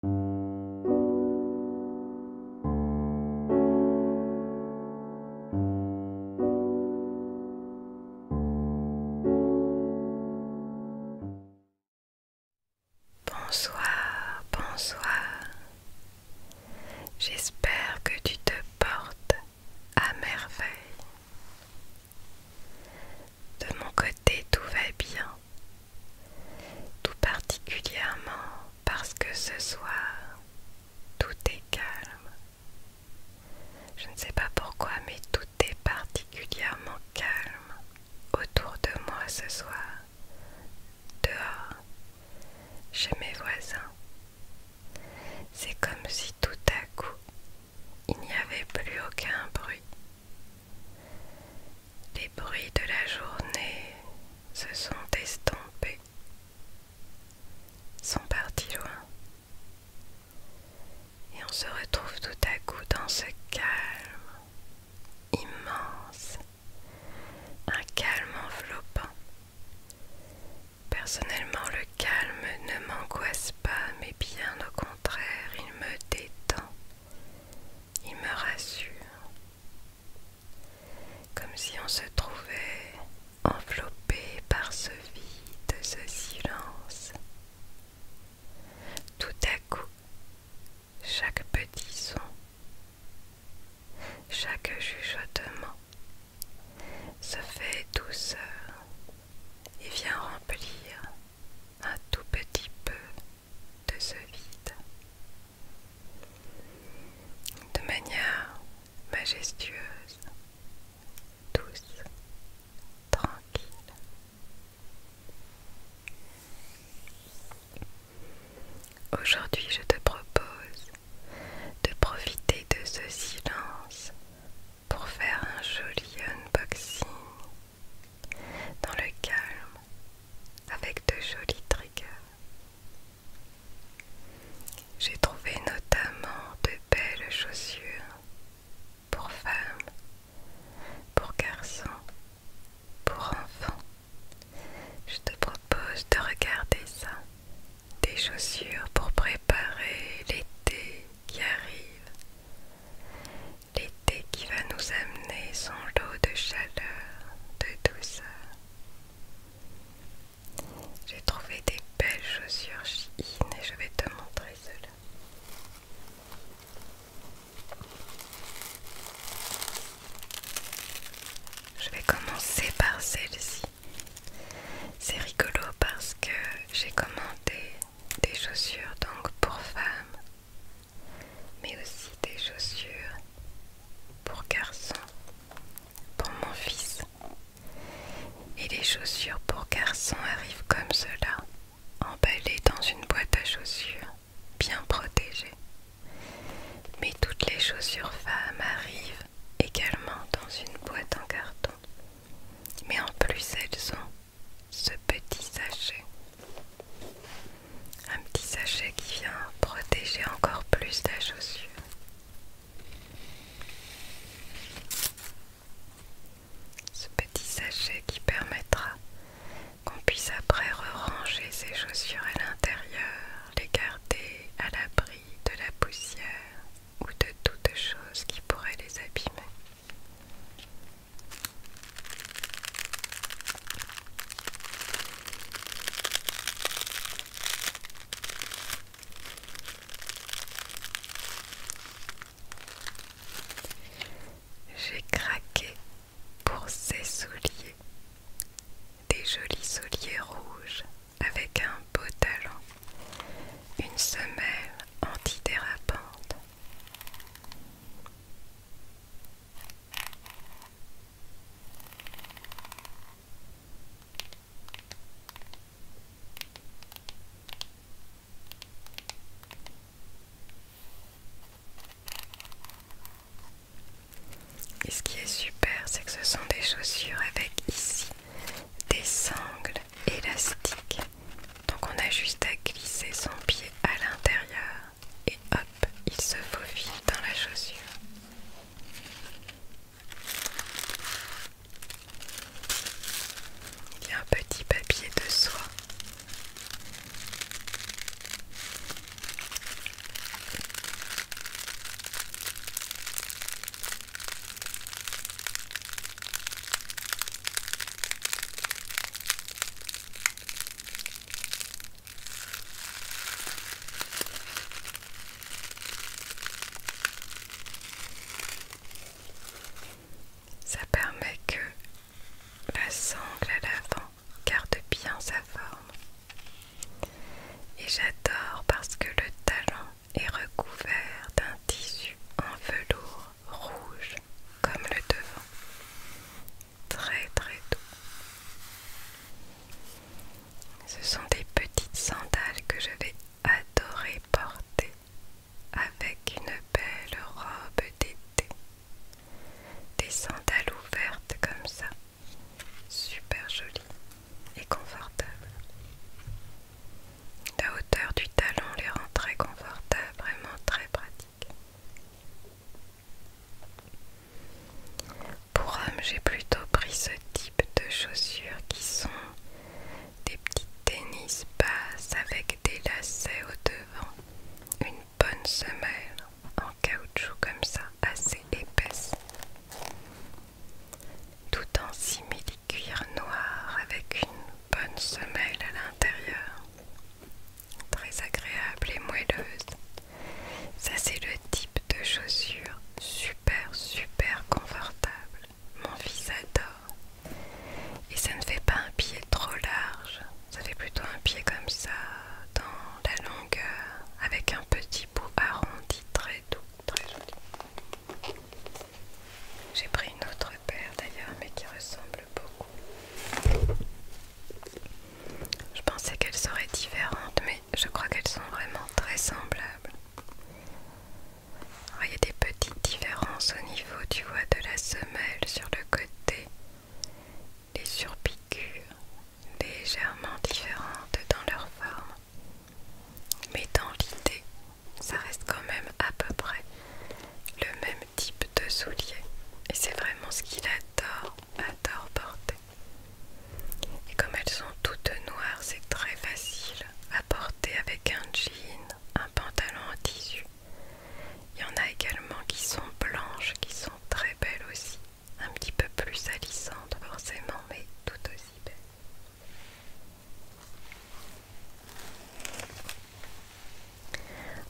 Bonsoir, bonsoir. J'espère que tu te portes à merveille. De mon côté, tout va bien tout particulièrement parce que ce soir, tout est calme. Je ne sais pas pourquoi, mais tout est particulièrement calme autour de moi ce soir, dehors, chez mes voisins. C'est comme si tout à coup, il n'y avait plus aucun bruit, les bruits de la journée se sont estompés, sont partis loin, et on se retrouve tout à coup dans ce calme immense, un calme enveloppant. Personnellement, le calme ne m'angoisse pas, mais bien au contraire, il me détend. Il me rassure, comme si on se trouvait enveloppé par ce vide, ce silence. Tout à coup, chaque petit son, chaque chuchotement se fait douceur et vient remplir un tout petit peu de ce vide. De manière majestueuse, douce, tranquille. Aujourd'hui, je te propose de profiter de ce silence pour faire un joli unboxing dans le calme, avec de jolis triggers. J'ai trouvé notamment de belles chaussures pour femmes, pour garçons, pour enfants. Je te propose de regarder ça. Des chaussures pour préparer l'été qui arrive. L'été qui va nous amener son lot de chaleur, de douceur. J'ai trouvé des belles chaussures Shein et je vais te montrer cela. Je vais commencer par celle-ci. C'est rigolo parce que j'ai commandé des chaussures donc pour femmes, mais aussi des chaussures pour garçons, pour mon fils. Et les chaussures pour garçons arrivent comme cela, emballées dans une boîte à chaussures, bien protégées Mais toutes les chaussures femmes arrivent également dans une boîte en carton. Mais en plus elles sont ce petit sachet. Un petit sachet qui vient protéger encore plus la chaussure. Ce petit sachet qui permettra qu'on puisse après ranger ses chaussures à l'intérieur, les garder à l'abri de la poussière ou de toute chose qui pourrait les abîmer. J'ai craqué pour ces souliers, des jolis souliers rouges avec un beau talon, une semelle antidérapante, et ce qui est super, c'est que ce sont des chaussures avec ici des sangles élastique. Donc on a juste à glisser son pied à l'intérieur et hop, il se faufile dans la chaussure. Il y a un petit papier de soie. Ça permet que la sangle à l'avant garde bien sa forme. Et j'adore parce que le talon et recouvert d'un tissu en velours rouge comme le devant, très très doux. Ce sont des petites sandales que je vais adorer porter avec une belle robe d'été. Des sandales ouvertes comme ça, super jolies et confortables. La hauteur du talon les rend très confortables, vraiment très pratiques. Pour homme, j'ai plutôt pris ce type de chaussures qui sont des petites tennis basses avec des lacets au devant, une bonne semelle en caoutchouc comme ça, assez épaisse, tout en simili cuir noir avec une bonne semelle à l'intérieur, très agréable et moelleuse. Ça c'est le type de chaussure super super confortable. Mon fils adore. Et ça ne fait pas un pied trop large, ça fait plutôt un pied comme ça, dans la longueur, avec un petit bout arrondi, très doux, très joli. J'ai pris une autre paire d'ailleurs, mais qui ressemble beaucoup. Je pensais qu'elles seraient différentes, mais je crois qu'elles sont vraiment très semblables. il y a des petites différences au niveau, tu vois, de la semelle sur le côté. Les surpiqûres légèrement différentes dans leur forme. Mais dans l'idée, ça reste quand même à peu près le même type de souliers et c'est vraiment ce qu'il adore, adore porter. Et comme elles sont toutes noires, c'est très facile à porter avec un jean, un pantalon en tissu. Il y en a également qui sont blanches, qui sont très belles aussi, un petit peu plus salissantes forcément, mais tout aussi belles.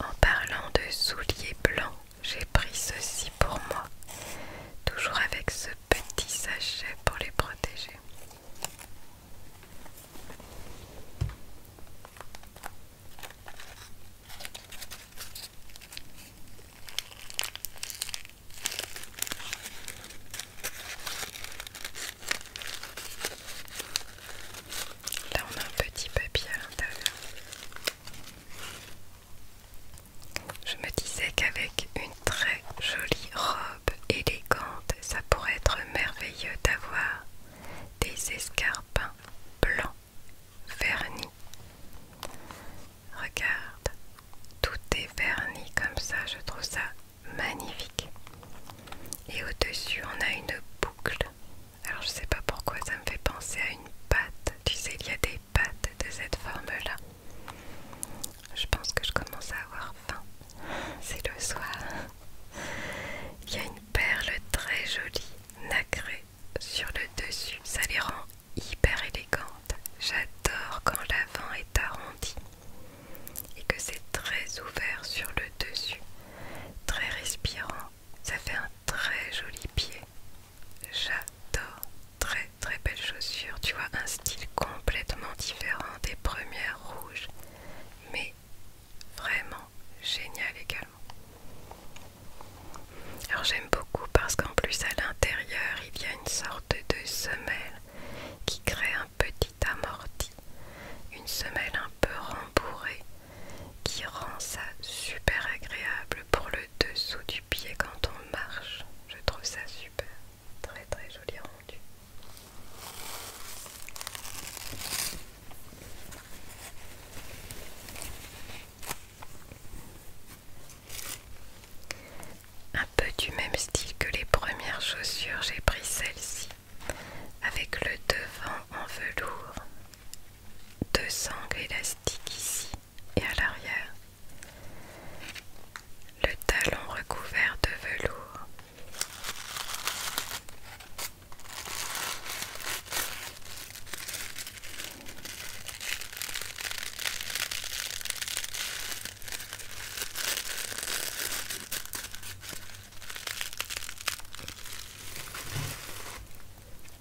En parlant de souliers blancs, j'ai pris ceci pour moi, toujours avec ce petit sachet pour les protéger. Là, on a un petit papier à l'intérieur. Je me disais qu'avec une très jolie robe élégante, ça pourrait être merveilleux d'avoir des escarpins blancs vernis Regarde, tout est verni comme ça, je trouve ça magnifique. Et au-dessus, on a une boucle. Alors je sais pas pourquoi ça me fait penser à une pâte. Tu sais, il y a des pâtes de cette forme-là. Je pense que je commence à avoir faim. C'est le soir. Il y a une perle très jolie, nacrée, sur le dessus. Ça les rend hyper élégante. J'adore quand l'avant est arrondi et que c'est très ouvert sur le dessus, très respirant. Ça fait un très joli pied. J'adore. Très très belles chaussures, Tu vois, un style complètement différent des premières rouges. Mais vraiment génial également. Alors j'aime beaucoup parce qu'en plus à l'intérieur il y a une sorte de semelle qui crée un petit amorti, une semelle un peu rembourrée qui rend ça super agréable pour le dessous du pied quand on marche. Je trouve ça super, très très joli rendu. Un peu du même style que les premières chaussures, j'ai pris celle-ci avec le devant en velours, deux sangles élastiques ici et à l'arrière, le talon recouvert de velours.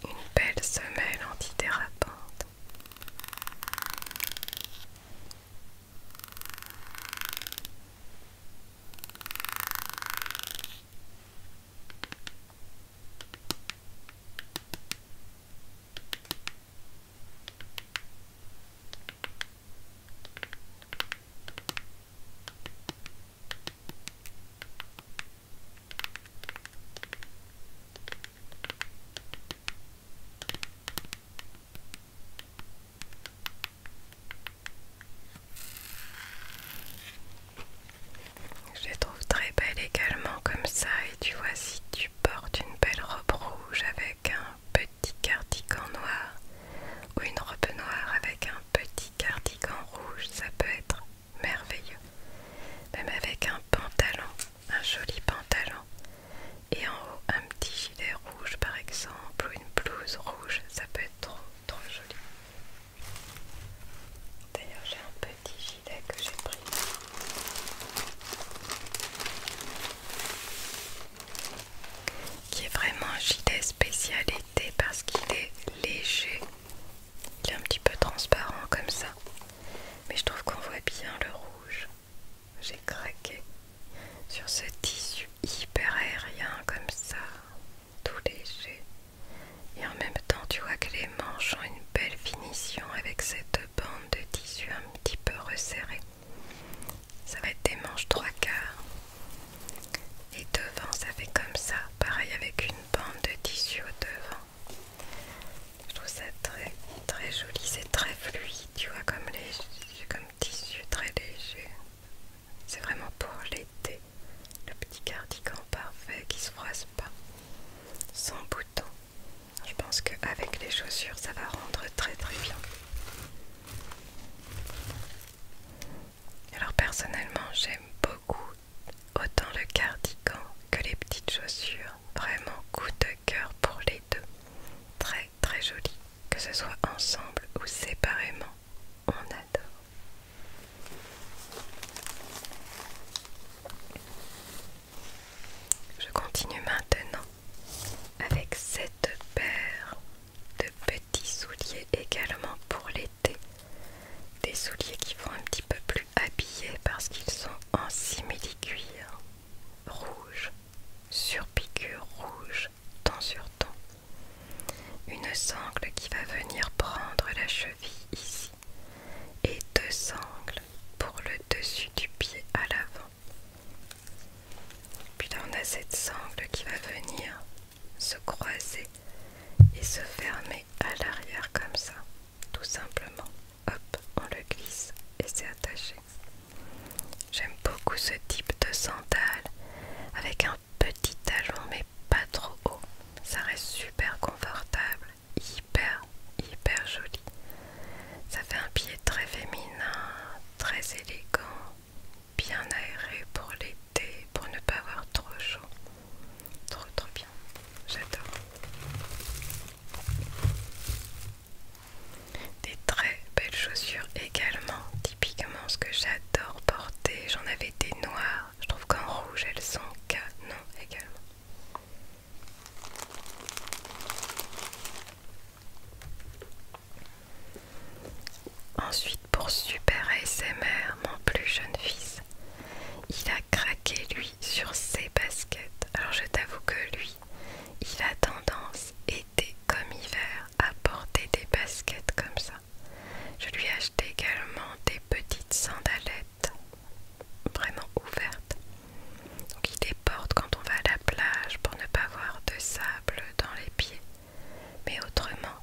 Une belle semelle antidérapante. Je les trouve très belles également comme ça et tu vois si tu porte une belle robe rouge avec un petit cardigan noir ou une robe noire avec un petit cardigan rouge, ça peut être merveilleux. Même avec un pantalon, un joli pantalon et en haut un petit gilet rouge par exemple ou une blouse rouge, ça peut être trop trop joli. D'ailleurs j'ai un petit que j'ai pris. Qui est vraiment un gilet spécialité parce qu'il est léger. Il est un petit peu transparent comme ça. Mais je trouve qu'on voit bien le rouge. J'ai craqué sur ce tissu hyper aérien comme ça, tout léger. Et en même temps, tu vois que les manches ont une belle finition avec cette bande de tissu un petit peu resserré Ça va être des manches trois quarts. Et devant, ça fait comme ça. Pareil avec une bande de tissu au devant. Je trouve ça très très joli. C'est très fluide, tu vois, comme, les comme tissu très léger. C'est vraiment pour l'été. Le petit cardigan parfait qui se froisse pas. Sans bouton. Je pense qu'avec les chaussures, ça va rendre très très bien. Alors personnellement, j'aime beaucoup autant le cardigan que les petites chaussures. Vraiment coup de cœur pour les deux. Très très joli. Que ce soit ensemble ou séparément, on adore. Je continue maintenant avec cette paire de petits souliers également pour l'été. Des souliers qui vont un petit peu plus habillés parce qu'ils sont en simili-cuir rouge sur piqûre rouge temps sur temps Une sangle qui va venir prendre la cheville ici et deux sangles pour le dessus du pied à l'avant. Puis là, on a cette sangle qui va venir se croiser et se fermer à l'arrière comme ça, tout simplement. Hop, on le glisse et c'est attaché. J'aime beaucoup ce type de sandale avec un petit talon mais pas trop haut. Ça reste super confortable hyper hyper joli. Ça fait un pied très féminin, très élégant, bien aéré pour l'été, pour ne pas avoir trop chaud. Trop trop bien, j'adore. Des très belles chaussures également, typiquement ce que j'adore porter. J'en avais des noires je trouve qu'en rouge elles sont canons, également. Ensuite pour Super mères, mon plus jeune fils, il a craqué lui sur ses baskets. Alors je t'avoue que lui, il a tendance, été comme hiver, à porter des baskets comme ça. Je lui ai acheté également des petites sandalettes vraiment ouverte. Donc il déporte quand on va à la plage pour ne pas avoir de sable dans les pieds. Mais autrement,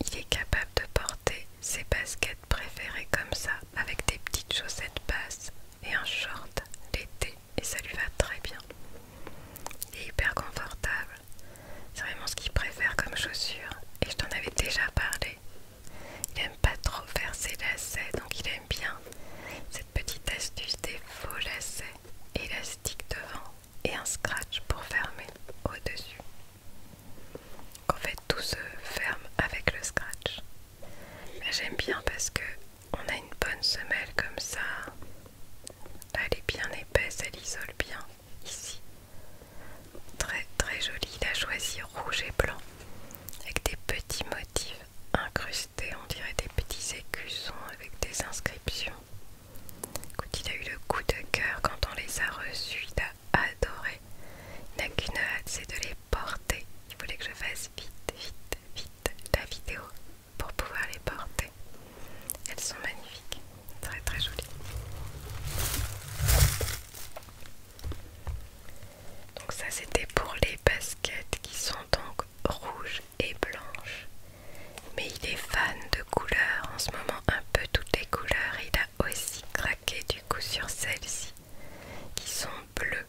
il est capable de porter ses baskets préférées comme ça, avec des petites chaussettes basses et un short l'été, et ça lui va très bien. Il est hyper confortable. C'est vraiment ce qu'il préfère comme chaussure. Et je t'en avais déjà parlé il n'aime pas trop faire ses lacets, donc il aime bien cette petite astuce des faux lacets, élastiques devant et un scratch pour fermer au-dessus. En fait, tout se ferme avec le scratch. J'aime bien parce que on a une bonne semelle comme ça. Elle est bien épaisse, elle isole bien ici. Très très joli, il a choisi rouge et blanc avec des petits motifs incrustés, on dirait des petits écussons avec des inscriptions. Écoute, il a eu le coup de cœur quand on les a reçus, il a adoré. Il n'a qu'une hâte, c'est de les porter. Il voulait que je fasse vite, vite, vite la vidéo pour pouvoir les porter. Elles sont magnifiques. Très très joli. Donc ça c'était pour les baskets qui sont donc rouges et blanches. Mais il est fan de couleurs en ce moment, un peu toutes les couleurs. Il a aussi craqué du coup sur celles-ci qui sont bleues,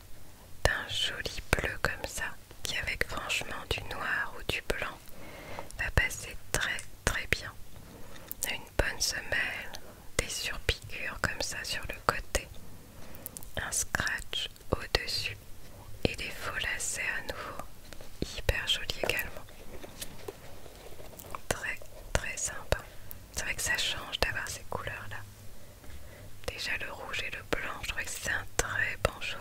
d'un joli bleu comme ça, qui avec franchement du noir ou du blanc va passer très très bien une bonne semelle, des surpiqûres comme ça sur le côté, un scratch au-dessus et des faux lacets à nouveau, hyper joli également. Très très sympa. C'est vrai que ça change d'avoir ces couleurs là. Déjà le rouge et le blanc, je trouve que c'est un très bon choix.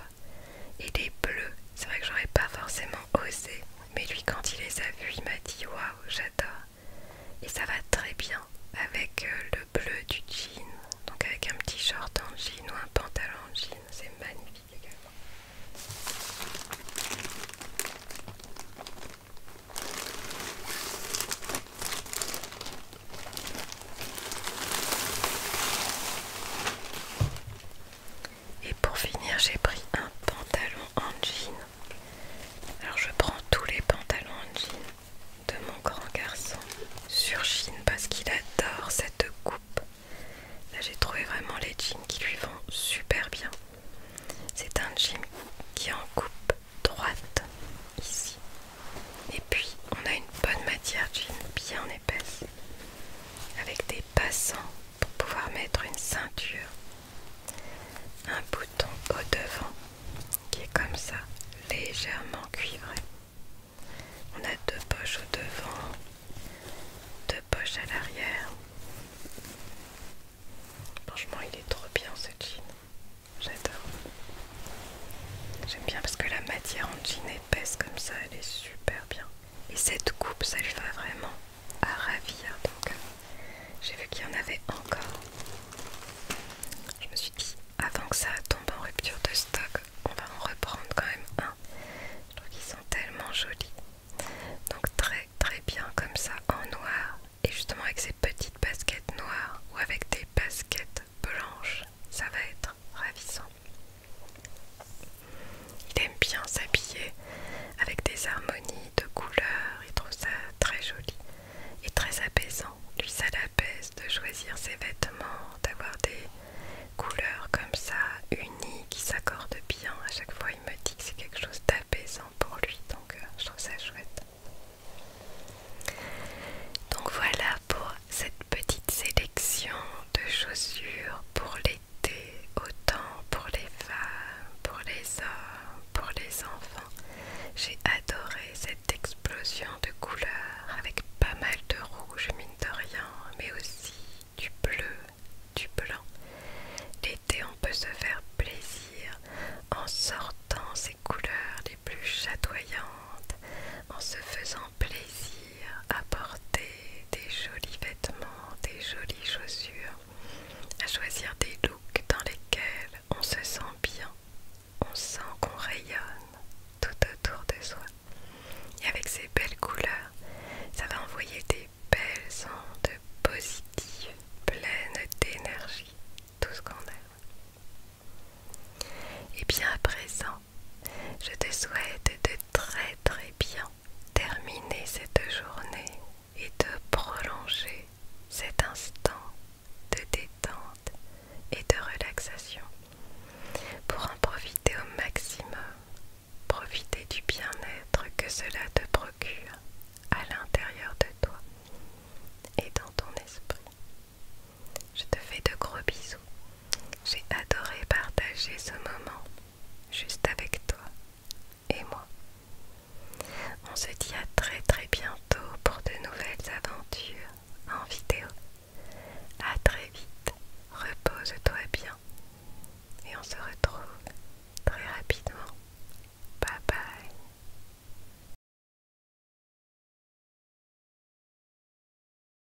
Et les bleus, c'est vrai que j'aurais pas forcément osé mais lui, quand il les a vus, il m'a dit Waouh, j'adore Et ça va très bien avec euh, le bleu du jean, donc avec un petit short en jean ou un pantalon en jean, c'est magnifique également. Et pour finir, j'ai pris un pantalon en jean. Alors je prends tous les pantalons en jean de mon grand garçon sur jean parce qu'il adore cette coupe. Là j'ai trouvé vraiment les jeans qui lui vont super bien. C'est un jean qui est en coupe droite ici. Et puis on a une bonne matière jean bien épaisse avec des passants pour pouvoir mettre une ceinture, un bouton au devant qui est comme ça, légèrement cuivré. On a deux poches au devant, deux poches à l'arrière. Franchement, il est trop bien ce jean. J'adore. J'aime bien parce que la matière en jean épaisse comme ça, elle est super bien. Et cette coupe, ça lui va vraiment à ravir. Donc, euh, j'ai vu qu'il y en avait encore. Je me suis dit, avant que ça tombe en rupture de stock, on va en reprendre quand même un. Je trouve qu'ils sont tellement jolis. Donc, très très bien comme ça en noir. Et justement, avec ces petites baskets noires ou avec des baskets blanches, ça va être ravissant. Il aime bien s'habiller avec des harmonies de couleurs, il trouve ça très joli et très apaisant. Lui, ça l'apaise de choisir ses vêtements, d'avoir des couleurs comme ça, unies, qui s'accordent bien. À chaque fois, il me dit que c'est quelque chose d'apaisant pour lui, donc euh, je trouve ça chouette. Donc voilà pour cette petite sélection de chaussures pour les autant pour les femmes, pour les hommes, pour les enfants. J'ai adoré cette explosion de couleurs avec pas mal de rouge mine de mais aussi du bleu, du blanc. L'été, on peut se faire plaisir en sortant ces couleurs les plus chatoyantes, en se faisant plaisir à porter des jolis vêtements, des jolies chaussures, à choisir des looks dans lesquels on se sent bien, on sent qu'on rayonne tout autour de soi. Et avec ces belles couleurs, ça va envoyer des belles ondes positives, pleines d'énergie, tout ce qu'on aime. Et bien à présent, je te souhaite de très très bien terminer cette journée et de prolonger cet instant de détente et de relaxation pour en profiter au maximum, profiter du bien-être que cela te procure à l'intérieur de toi et dans ton esprit. Je te fais de gros bisous j'ai adoré partager ce moment juste avec toi et moi. On se dit à très très bientôt pour de nouvelles aventures en vidéo. À très vite, repose-toi bien et on se retrouve très rapidement. Bye bye.